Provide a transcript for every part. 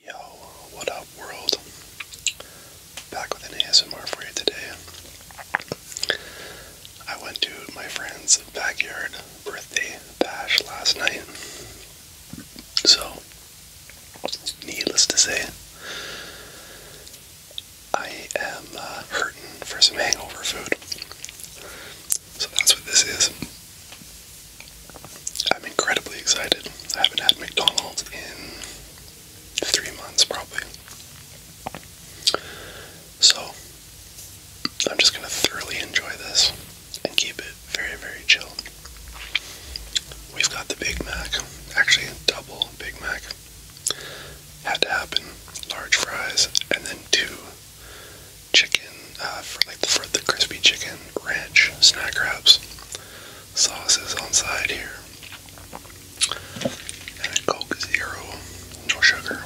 Yo, what up world? Back with an ASMR for you today. I went to my friend's backyard birthday bash last night. So, needless to say, I am uh, hurting for some hangover food. So that's what this is. I'm incredibly excited. I haven't had McDonald's in three months, probably. So, I'm just gonna thoroughly enjoy this and keep it very, very chill. We've got the Big Mac, actually, a double Big Mac. Had to happen. Large fries, and then two chicken, uh, for like the, crispy chicken, ranch, snack wraps, sauces on side here, and a Coke Zero, no sugar,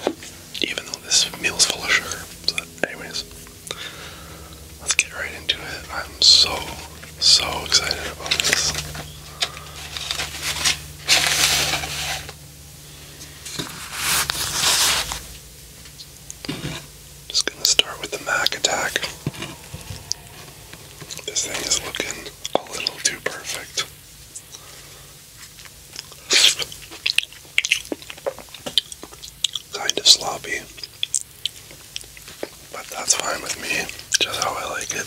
even though this meal's full of sugar. So, anyways, let's get right into it. I'm so, so excited about this. Just gonna start with the Mac attack. This thing is looking a little too perfect. Kind of sloppy, but that's fine with me, just how I like it.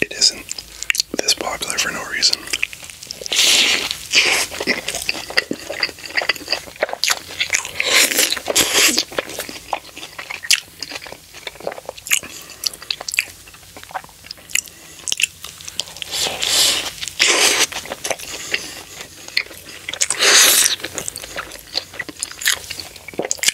It isn't this popular for no reason.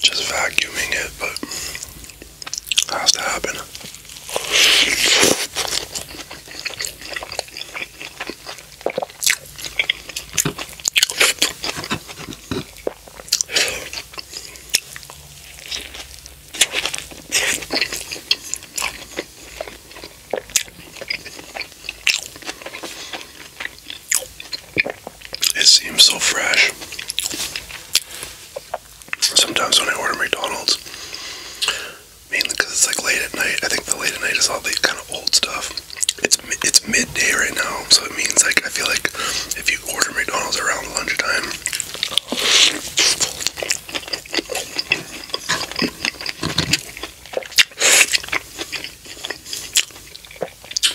Just vacuuming it, but has to happen. It seems so fresh. Sometimes when I order McDonald's, mainly because it's like late at night, I think the late at night is all the kind of old stuff it's midday right now, so it means like I feel like if you order McDonald's around lunchtime,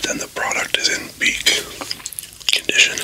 then the product is in peak condition.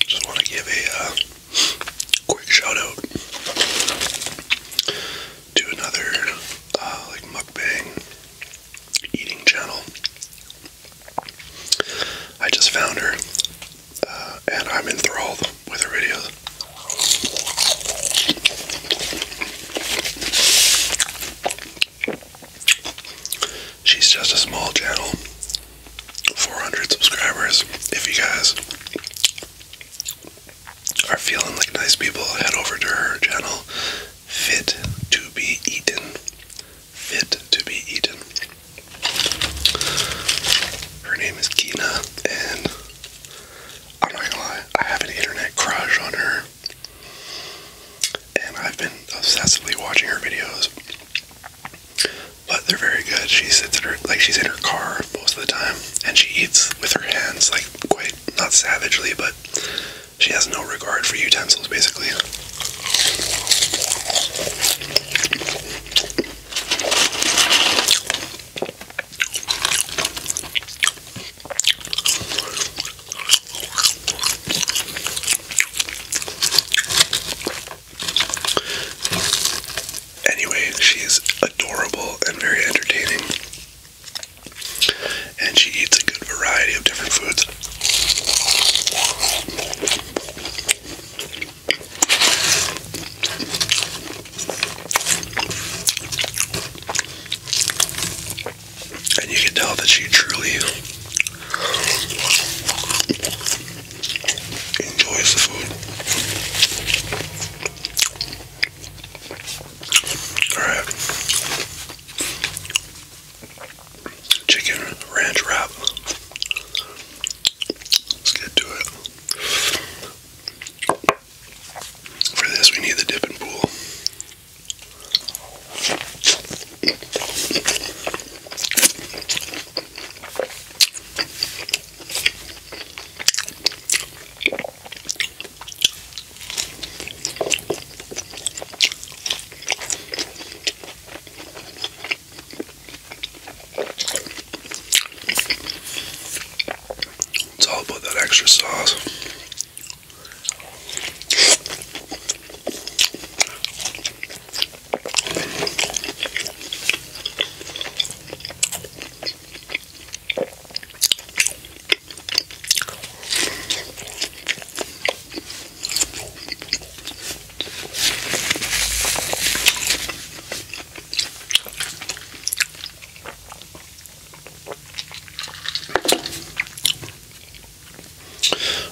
Just want to give a uh, quick shout out to another uh, like mukbang eating channel I just found her, uh, and I'm enthralled with her videos. She's just a small channel, 400 subscribers. If you guys are feeling like nice people, head over to her channel, Fit to Be Eaten fit to be eaten. Her name is Kina, and I'm not gonna lie, I have an internet crush on her. And I've been obsessively watching her videos. But they're very good. She sits in her like she's in her car most of the time and she eats with her hands like quite not savagely but she has no regard for utensils, basically. Anyway, she is adorable and very entertaining. And she eats a good variety of different foods. And you can tell that she truly enjoys the food. Alright. Chicken ranch wrap. Let's get to it. For this, we need the dipping pool. It's all about that extra sauce. I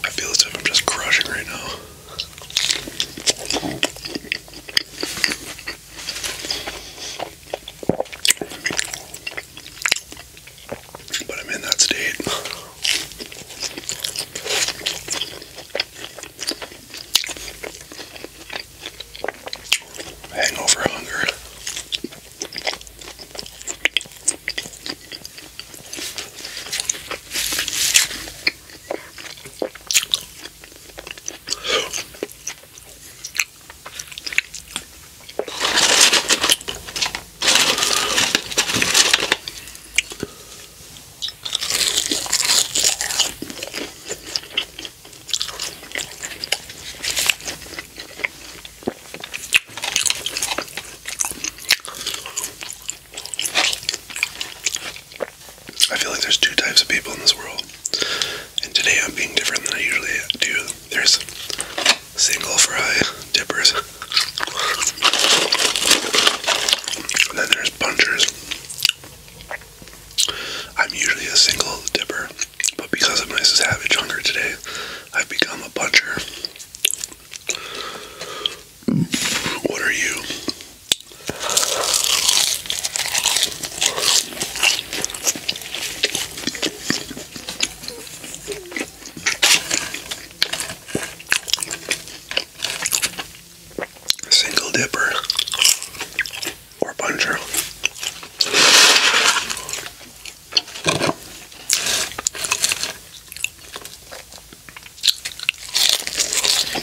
feel as if I'm just crushing right now. But I'm in that state. Hangover hunger. I feel like there's two types of people in this world and today I'm being different than I usually do. There's single fry dippers. And then there's punchers. I'm usually a single dipper, but because of my savage hunger today, I've become a buncher. What are you? Single dipper or puncher. I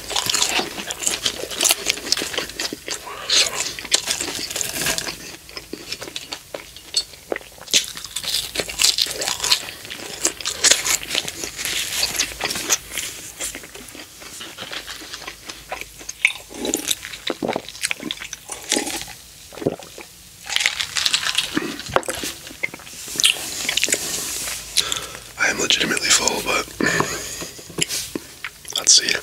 am legitimately full, but Let's see. I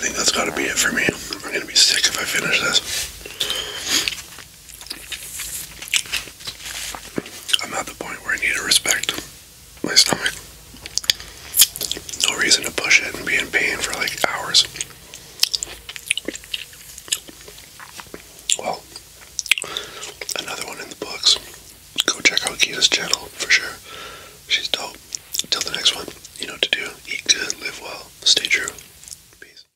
think that's got to be it for me. I'm going to be sick if I finish this. I'm at the point where I need to respect my stomach. No reason to push it and be in pain for like hours. Well, another one in the books. Go check out Kita's channel for sure. She's dope. Till the next one, you know what to do. Eat good, live well, stay true. Peace.